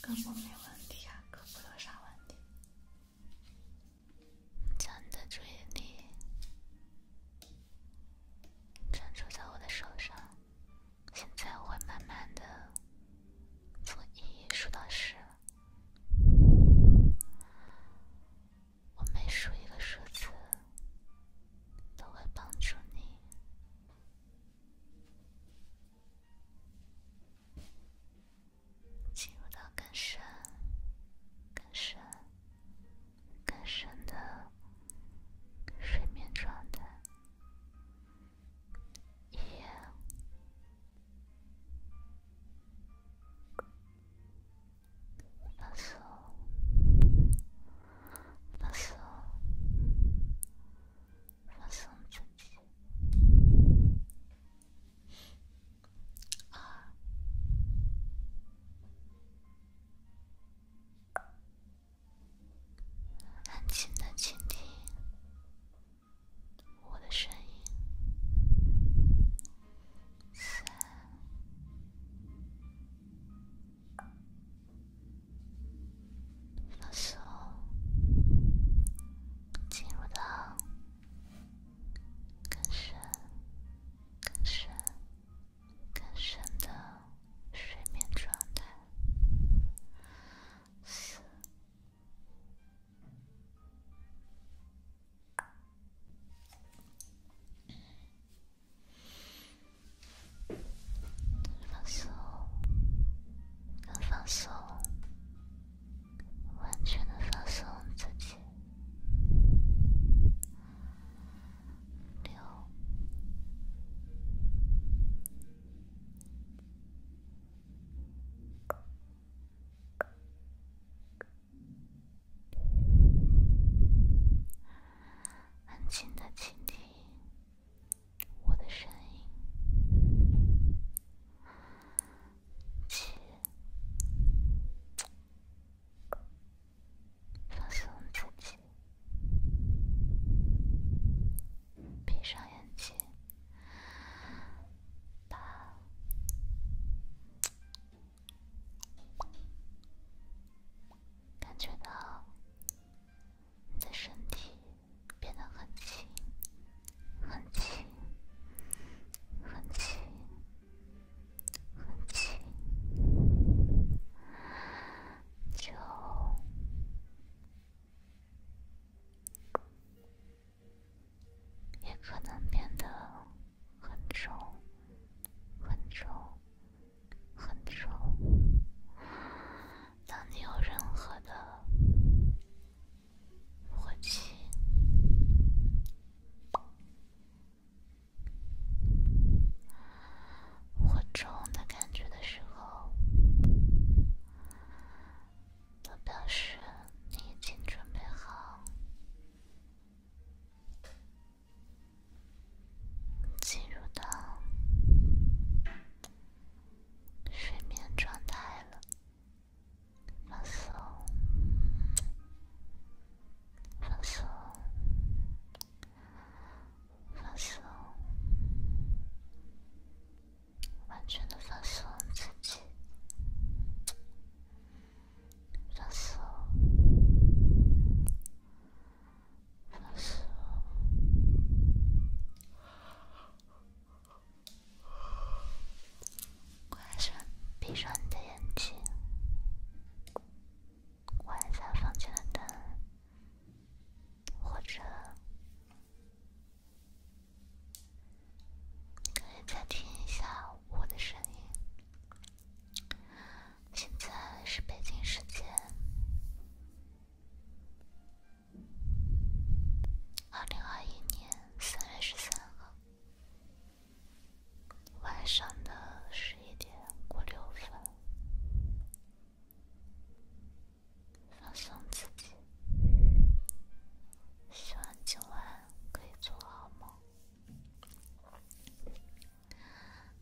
根本没问题啊，可没有啥问题。将你的注意力专注在我的手上。现在我会慢慢的从一数到十，我每数一个数字都会帮助你进入到更深、更深、更深的睡眠状态。耶！放松，放松，放松自己啊！安静的倾听我的声音，放松，进入到更深、更深、更深的。睡眠状态四，放松，更放松，完全的放松自己六。安静的倾听我的声音，闭上眼睛，八，感觉到你的身体变得很轻，很轻，很轻，很轻。就也可能变得很丑、很丑、很丑。当你有任何的火气。或重的感觉的时候，表示你已经准备好进入到睡眠状态了。放松，放松。放松，完全的放松自己。放松，放松。关上，闭上你的眼睛。关一下房间的灯，或者可以再听一下我的声音。现在是北京时间二零二一年三月十三号。晚上的十一点过六分，放松自己。希望今晚可以做好梦。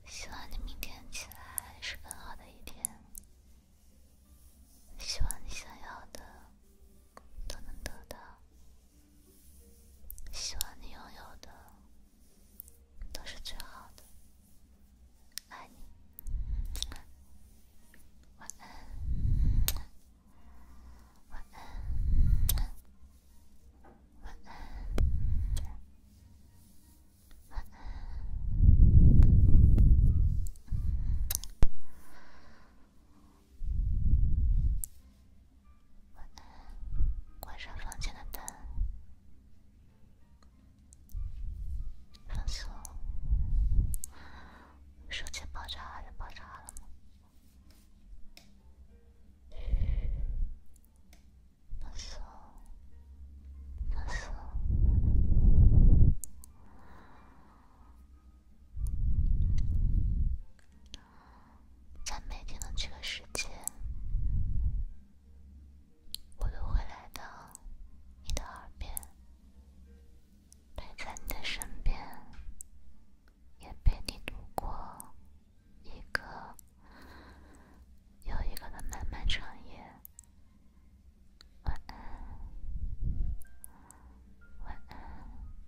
希望你明天起来是更好的一天。希望你想要的都能得到。希望你拥有的。都是最好的，爱你，晚安，晚安，晚安，晚安，晚安，关上房间的灯，放松。手机爆炸还是爆炸了吗？放松，放松。在每天的这个时间，我都会来到你的耳边，陪在你的身边，也陪你度过一个又一个的漫漫长夜。晚安，晚安。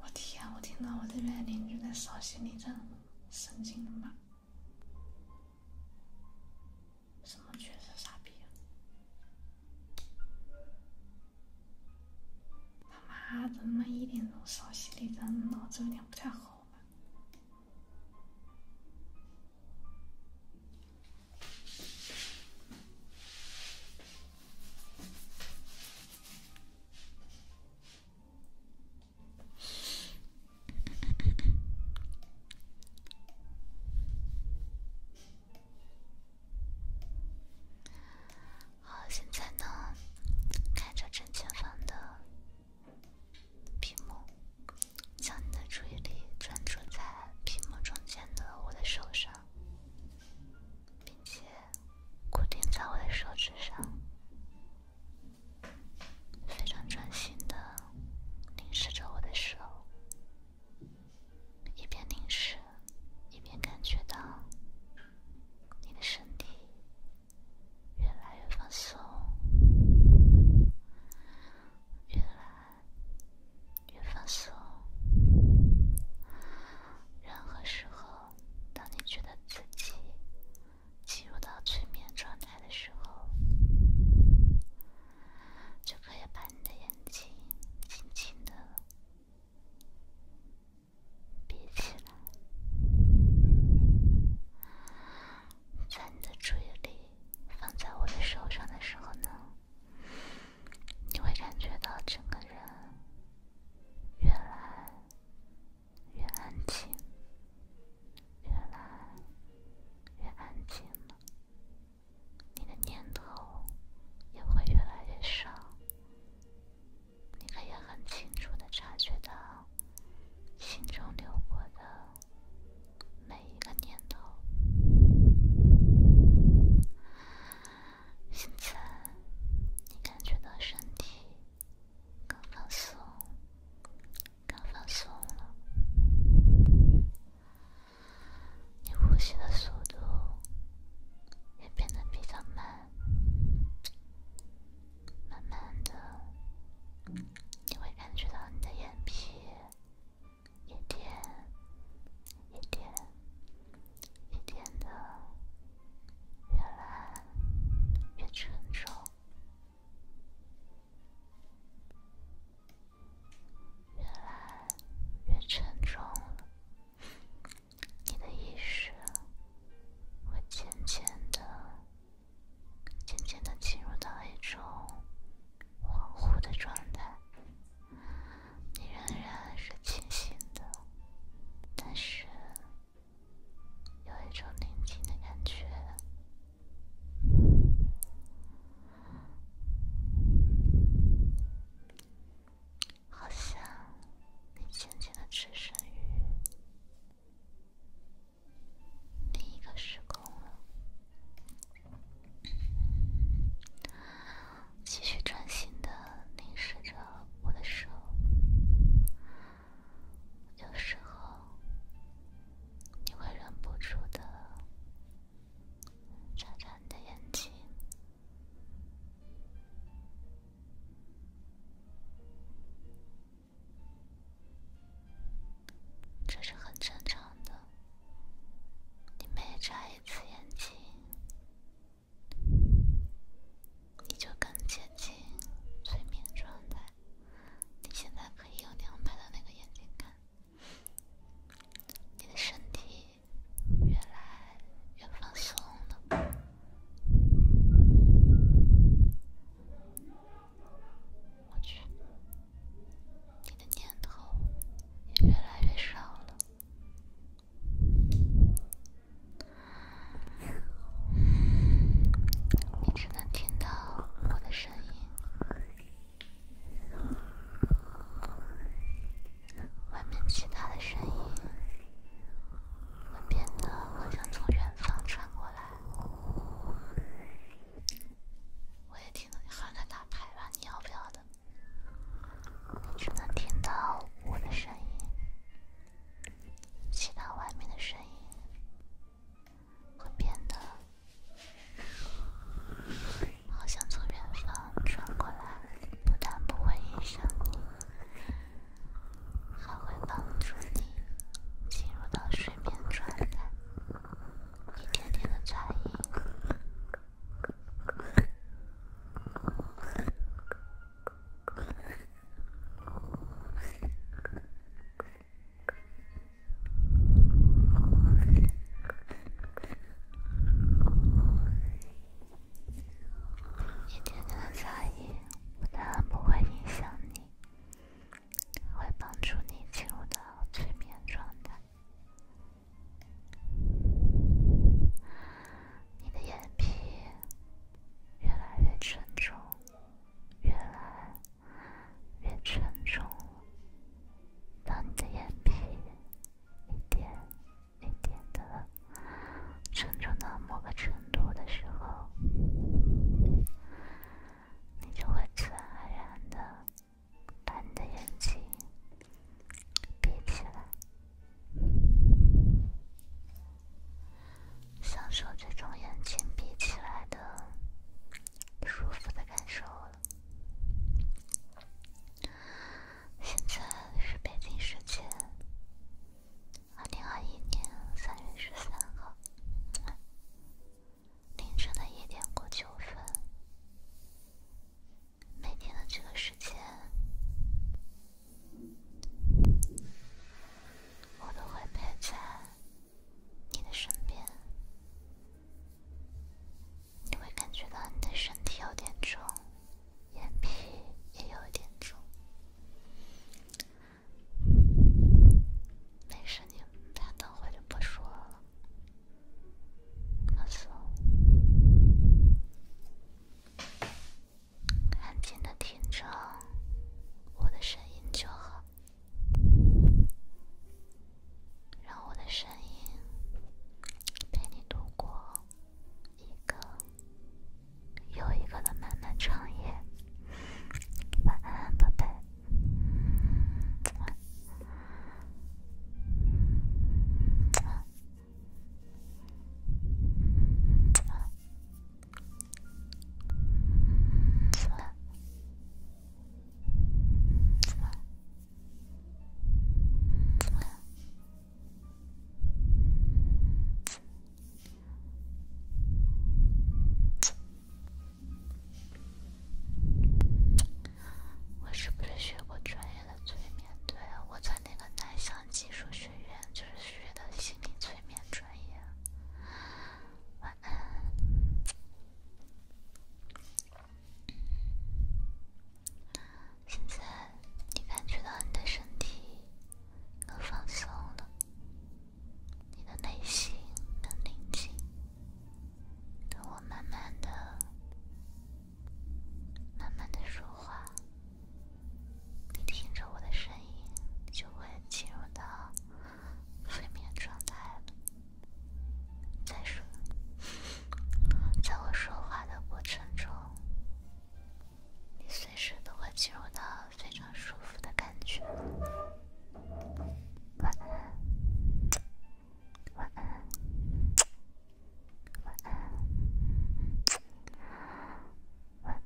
我天！我听到我这边邻居在扫心理战，神经了吧！什么？确实傻逼啊！他妈，的，他妈一点钟扫心理战，子有点不太好吧？好，现在呢，看着正前方的屏幕，将你的注意力专注在屏幕中间的我的手上，并且。固定在我的手指上，非常专心的凝视着我的手，一边凝视，一边感觉到你的身体越来越放松，越来。越放松。任何时候，当你觉得自己进入到催眠状态的时候，就可以把你的眼睛轻轻的闭起来。在你的注意力放在我的手上的时候呢？你会感觉到整个人越来越安静，越来越安静了。你的念头也会越来越少。你可以很清楚的察觉到心中流过的每一个念头。现在你感觉到身体更放松，更放松了，你呼吸的速度也变得比较慢，慢慢的，你会感觉到你的眼皮。一点，一点，一点的，越来越沉重，越来越沉重你的意识会渐渐的、渐渐的进入到一种恍惚的状态。你仍然是清醒的，但是有一种宁静的感觉，好像你渐渐的置身于另一个时空了。继续专心的凝视着我的手，有时候你会忍不住的眨眨你的眼睛，这是很正常的。你每眨一次眼睛，你就更接近催眠状态。你现在可以用两百的那个眼睛看，你的身体越来越放松了。我去。你的念头也越来越少了，你只能听到我的声音，外面其他的声音会变得好像从远方传过来。我也听到你喊在打牌吧？你要不要的？只能听到我的声音，其他外面的声音会变得好像从远方传过来，不但不会影响你，还会帮助你进入到睡眠状态。一点点的噪音，一点点的噪音，但当不会影响你。会帮助你进入到催眠状态。你的眼皮越来越沉重，越来越沉重。当你的眼皮一点一点的沉重到某个程度的时候。你就会自然而然的把你的眼睛闭起来，享受这种眼睛闭起来的舒服的感受了。现在是北京时间二零二一年三月十三号。凌晨的一点过九分，每天的这个时间，我都会陪在你的身边。你会感觉到你的身体有点重，眼皮也有一点重。没事，你等会就不说了。放松，安静的听着我的声音就好，让我的声音陪你度过一个又一个的漫漫长夜。晚安，宝贝。我是不是学过专业的催眠？对，我在那个南翔技术学院就是学的心理催眠专业。晚安。现在你感觉到你的身体更放松了。你的内心更宁静，等我慢慢的、慢慢的说话，你听着我的声音，你就会进入到睡眠状态了。再说，在我说话的过程中。你随时都会进入到非常舒服的感觉。晚安，晚安，晚安，晚安，晚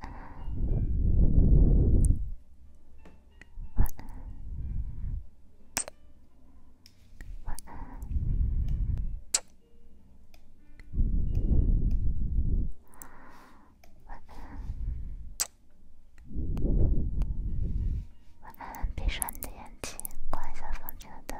安，晚。晚安，晚安。闭上你的眼睛，关一下房间的灯。